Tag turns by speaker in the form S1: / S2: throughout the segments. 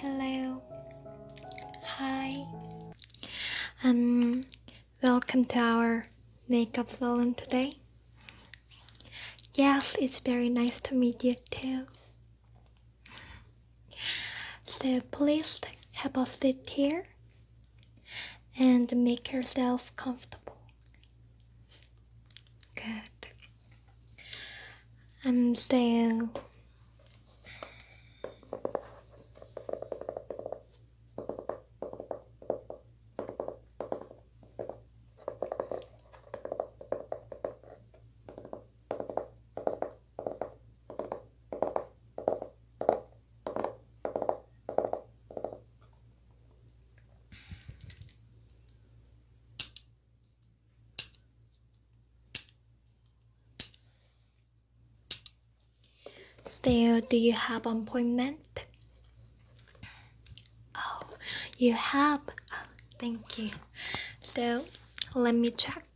S1: Hello. Hi. Um welcome to our makeup salon today. Yes, it's very nice to meet you too. So please help us sit here and make yourself comfortable. Good. Um, so Still, do you have an appointment? Oh, you have. thank you. So, let me check.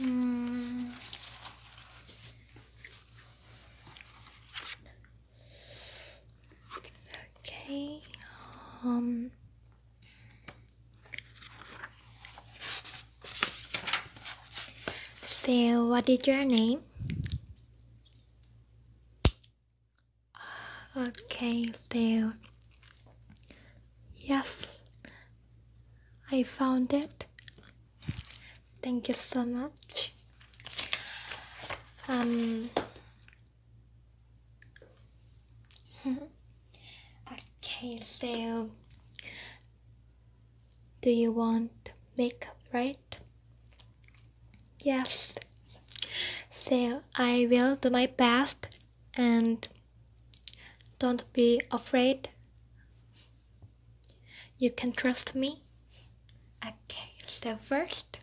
S1: Mm. Okay. Um. So, what is your name? Okay, so Yes, I found it. Thank you so much. Um. okay, so do you want makeup, right? Yes. So I will do my best and don't be afraid. You can trust me. Okay, so first,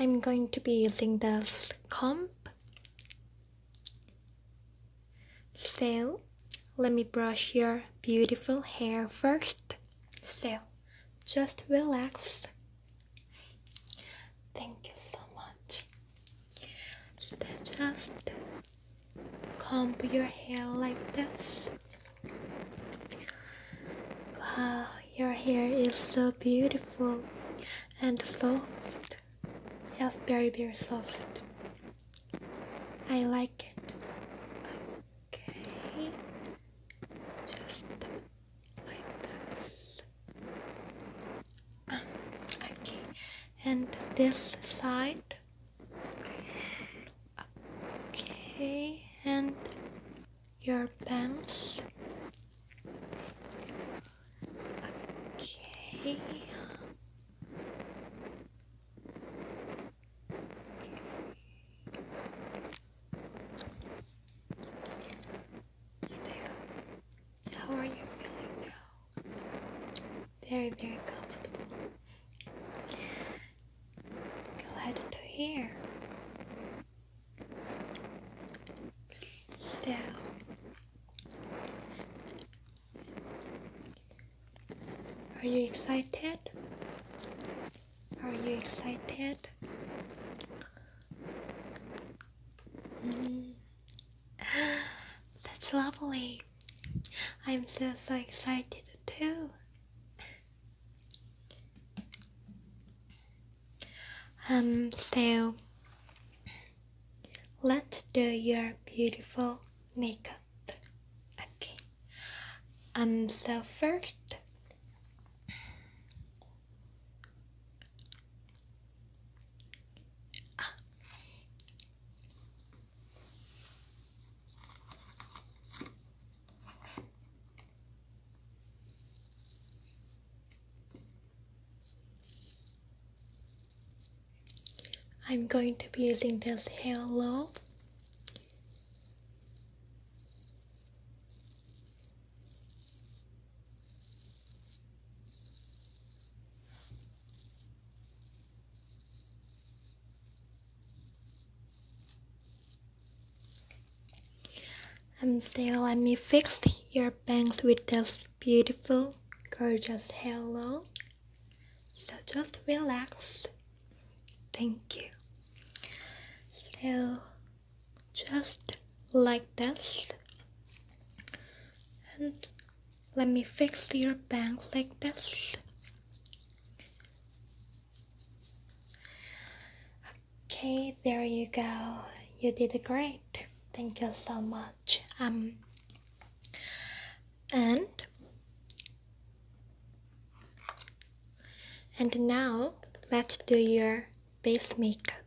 S1: I'm going to be using this comb so, let me brush your beautiful hair first. So, just relax. Thank you so much. just comb your hair like this. Wow, your hair is so beautiful and soft. Yes, very, very soft. I like it. Okay, just like this. okay, and this side. Okay, and your pants. Okay. How are you feeling now? Very, very comfortable. Glad to hear. So, are you excited? Are you excited? Mm. That's lovely. I'm so so excited too. Um, so let do your beautiful makeup. Okay. Um. So first. I'm going to be using this halo. and um, still let me fix your bangs with this beautiful, gorgeous hello. So just relax. Thank you. So just like this. And let me fix your bank like this. Okay, there you go. You did great. Thank you so much um and and now let's do your base makeup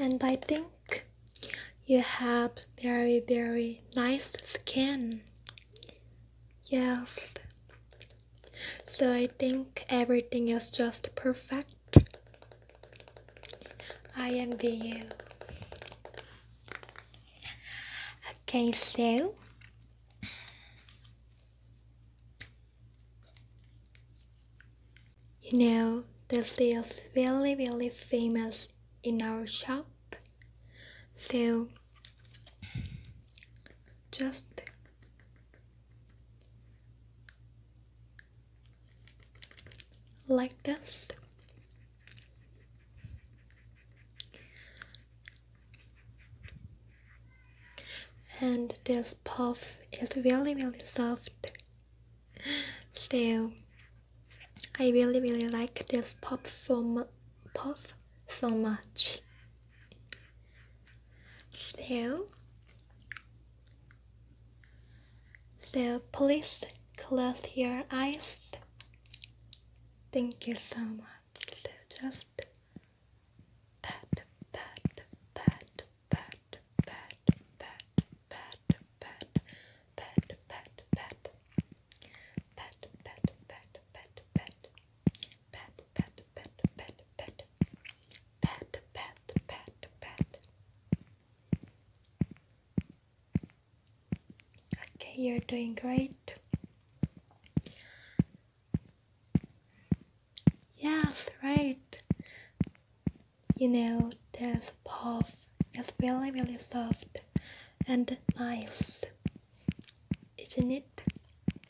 S1: and I think you have very very nice skin yes so I think everything is just perfect. I envy you. Okay, so you know this is really really famous in our shop. So just like this, And this puff is really really soft. So I really really like this puff so puff so much. So, so please close your eyes. Thank you so much. So just pat, pat, pat, pat, pat, pat, pat, pat, pat, pat, pat, pat, pat, pat, pat, pat pat, pat, pat, pat, pat, pat, pat, pat, pat. Okay, you're doing great. Yes, right. You know, this puff is really, really soft and nice, isn't it?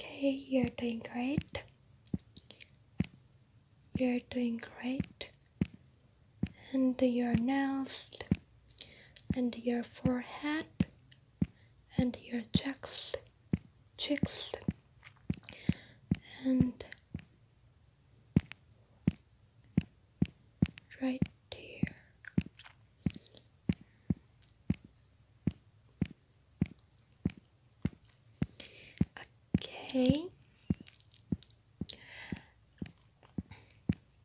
S1: Okay, you're doing great. You're doing great. And your nails, and your forehead, and your cheeks, cheeks, and right here. Okay.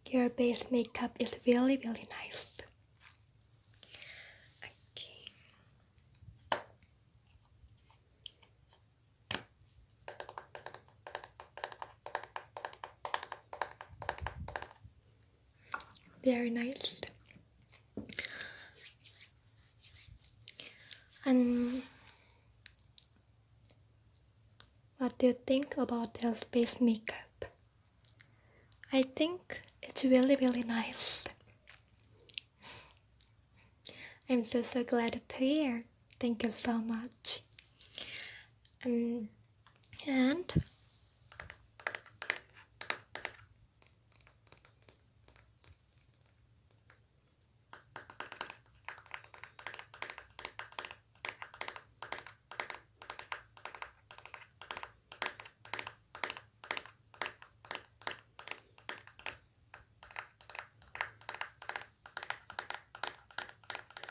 S1: Your base makeup is really, really nice. Okay. Very nice. And what do you think about this base makeup? I think it's really really nice. I'm so so glad to hear. Thank you so much um, and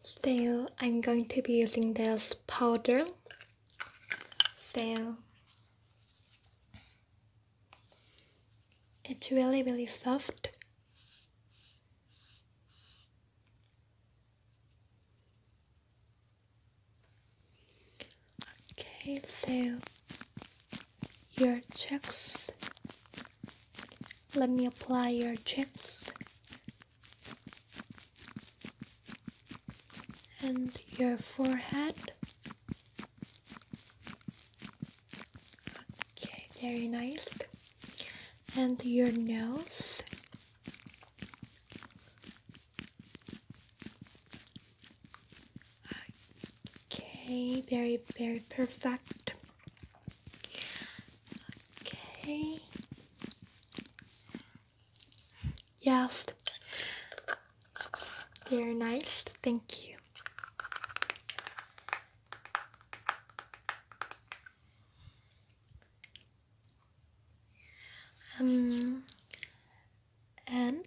S1: Still, I'm going to be using this powder so it's really really soft okay so your cheeks let me apply your cheeks and your forehead. Okay, very nice. And your nose. Okay, very, very perfect. Okay. Yes. Very nice. Thank you. Um, and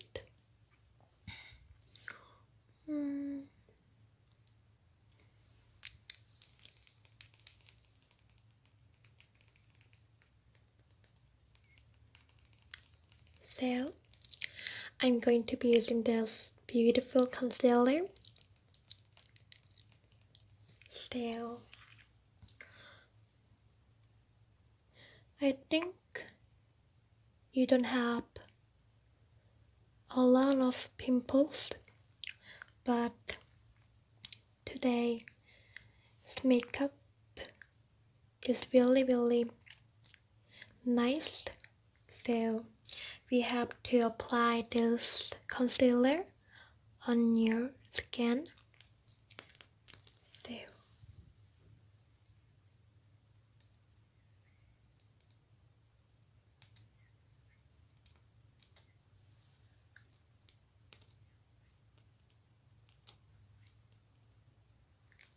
S1: um, so I'm going to be using this beautiful concealer. Still, I think you don't have a lot of pimples but today's makeup it's really really nice so we have to apply this concealer on your skin so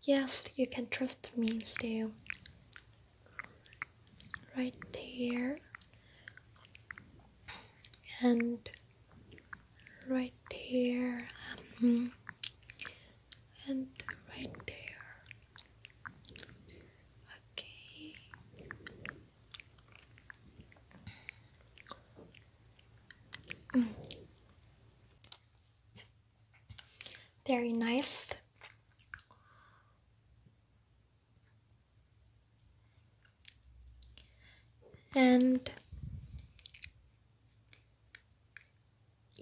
S1: Yes, you can trust me still. Right there. And right there. Um, and right there. Okay. Very nice. And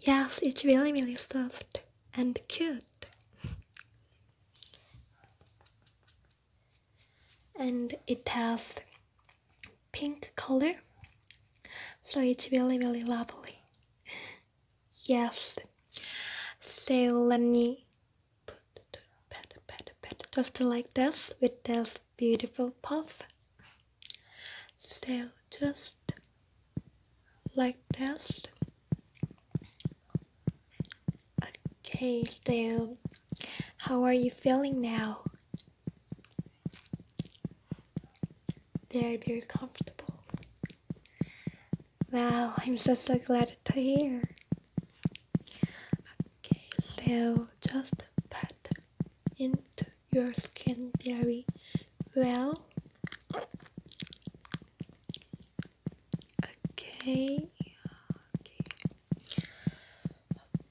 S1: yes, it's really, really soft and cute and it has pink color so it's really really lovely yes so let me put just like this with this beautiful puff so just like this okay so how are you feeling now? Very very comfortable. Wow, I'm so so glad to hear. Okay, so just pat into your skin very well. Okay.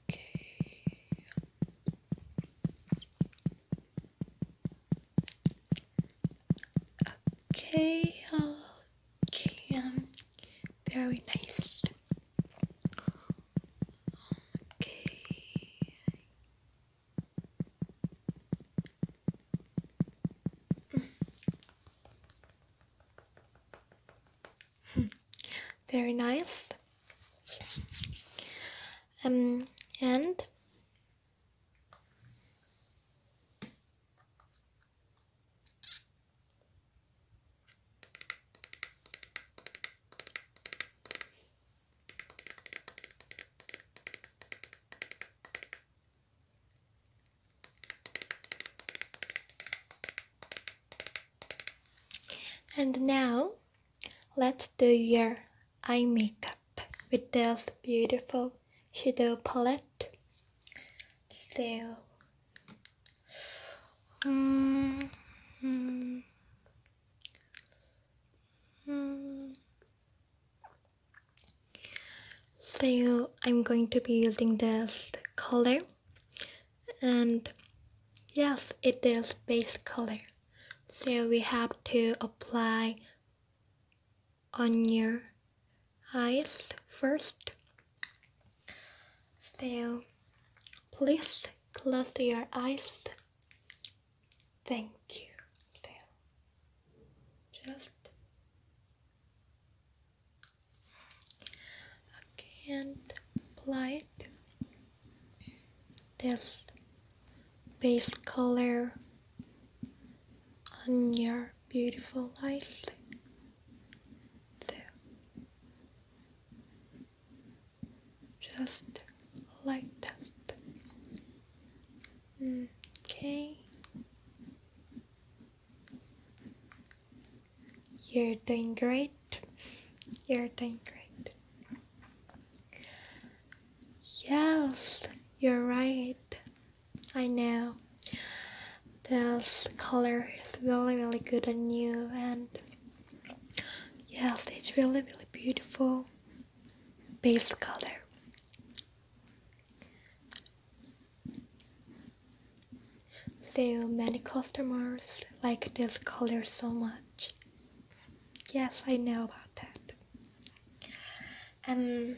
S1: Okay. Okay, okay, um, very nice. Okay. Mm. Very nice. Um, and and now let's do your eye makeup with this beautiful shadow palette. So, mm, mm, mm. so I'm going to be using this color and yes it is base color so we have to apply on your eyes first so please close your eyes thank you so just okay and apply it this base color on your beautiful eyes just like that okay you're doing great. You're doing great. Yes, you're right. I know. This color is really, really good on you, and yes, it's really, really beautiful base color. So many customers like this color so much. Yes, I know about that. Um,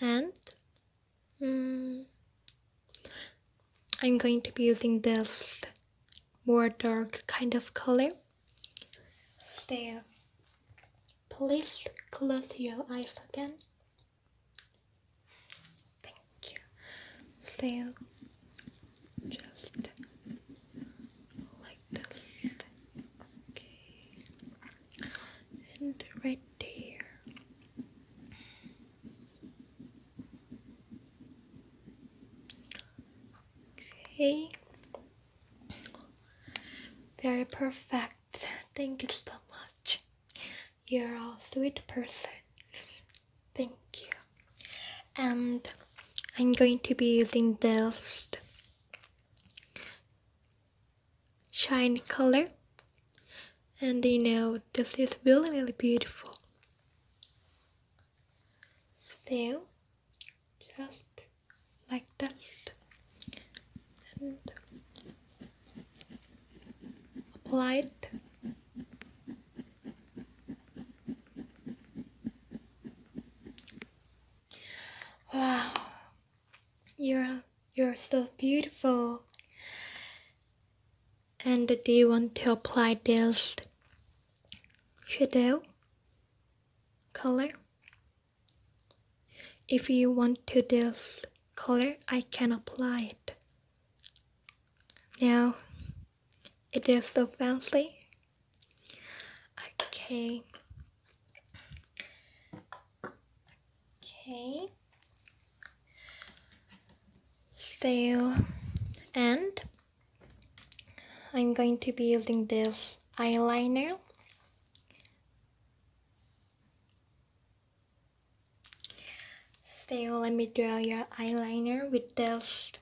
S1: and um, I'm going to be using this more dark kind of color. So please close your eyes again Thank you. So just like this. Okay. And right here. Okay. Very perfect. Thank you so much. You're a sweet person. Thank you. And I'm going to be using this shiny color. And you know, this is really, really beautiful. So, just like that. Apply it. wow you're you're so beautiful and do you want to apply this shadow color if you want to this color I can apply it now it is so fancy. Okay. Okay. So, and I'm going to be using this eyeliner. So let me draw your eyeliner with this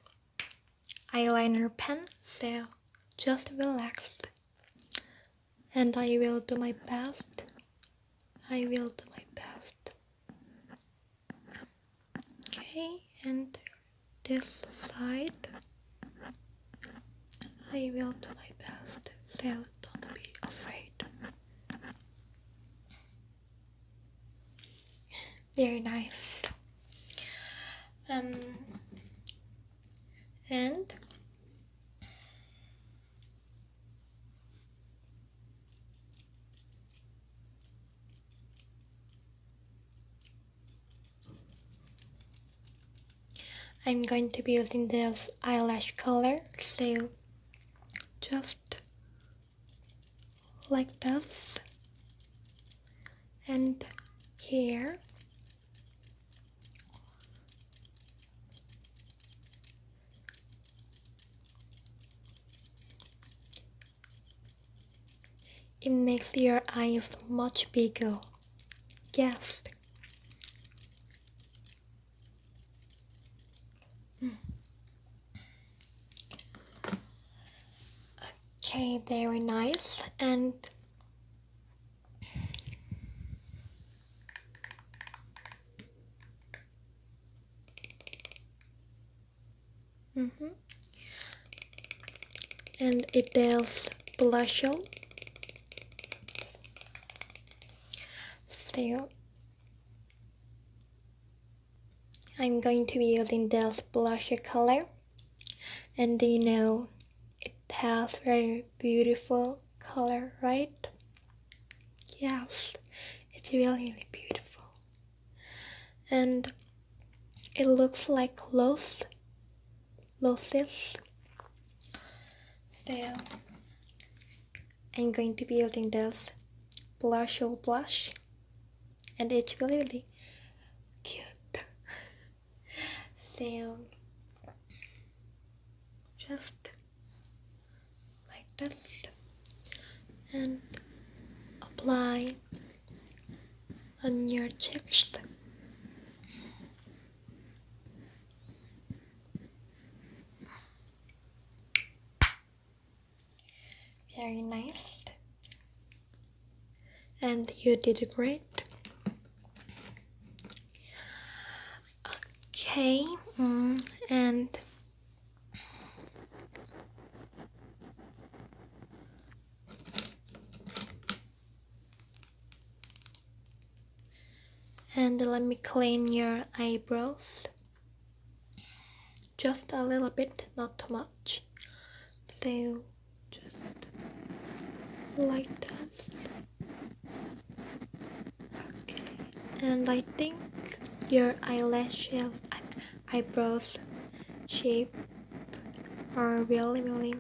S1: eyeliner pen. So just relax, and I will do my best. I will do my best. Okay, and this side. I will do my best, so don't be afraid. Very nice. Um, and I'm going to be using this eyelash color so just like this and here it makes your eyes much bigger yes Okay, very nice. And mm -hmm. and it is does blush. So I'm going to be using this blush color and you know it has very beautiful color right yes it's really really beautiful and it looks like clothes losses so I'm going to be using this Blushul blush and it's really really cute so just like this and apply on your cheeks very nice. And you did great. Okay, mm, and and let me clean your eyebrows just a little bit not too much so just light dust. okay and I think your eyelashes eyebrows shape are really really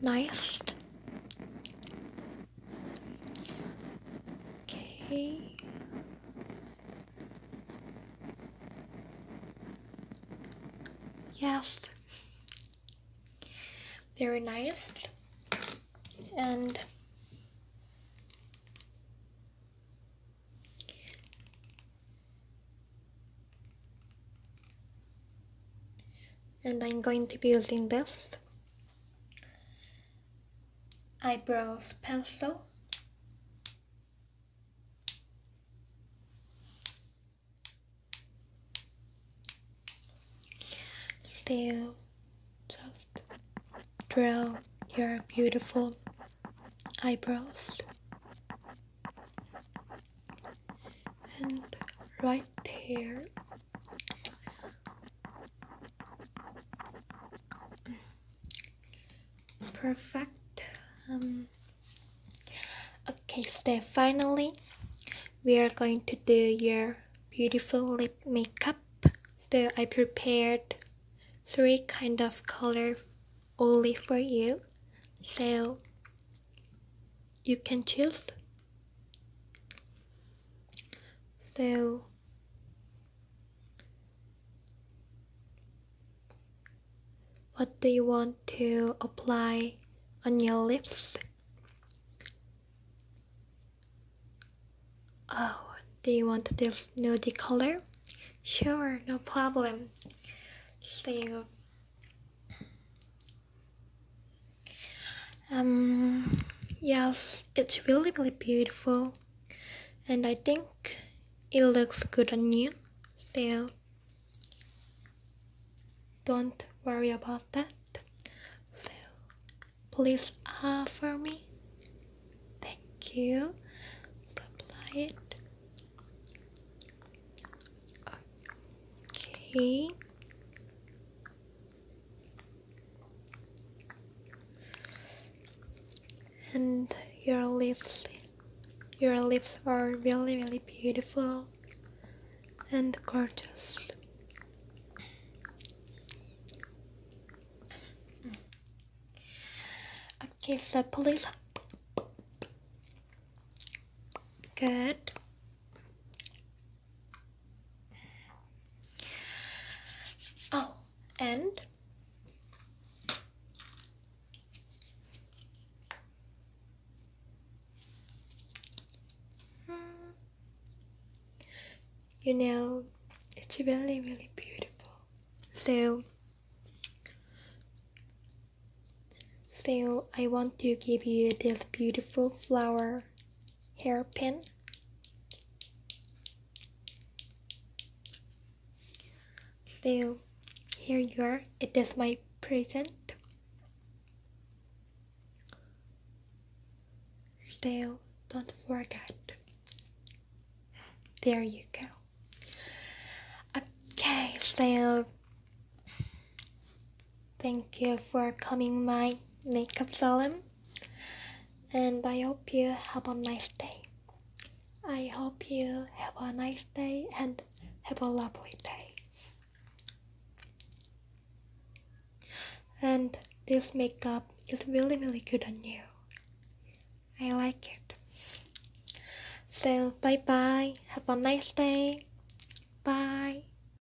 S1: nice Okay. Yes. Very nice. And and I'm going to be using this eyebrows pencil still just draw your beautiful eyebrows and right here perfect um, okay so finally we are going to do your beautiful lip makeup so i prepared three kind of color only for you so you can choose so what do you want to apply on your lips? Oh, do you want this nudie color? Sure, no problem. So um, yes, it's really, really beautiful, and I think it looks good on you, so don't worry about that. So, please offer me. Thank you. Apply it. Okay and your lips your lips are really really beautiful and gorgeous okay so please good Oh, and hmm. you know, it's really, really beautiful. So, so I want to give you this beautiful flower hairpin so here you are it is my present so don't forget there you go okay so Thank you for coming my makeup salon and I hope you have a nice day. I hope you have a nice day and have a lovely day. And this makeup is really really good on you. I like it. So bye bye. Have a nice day. Bye.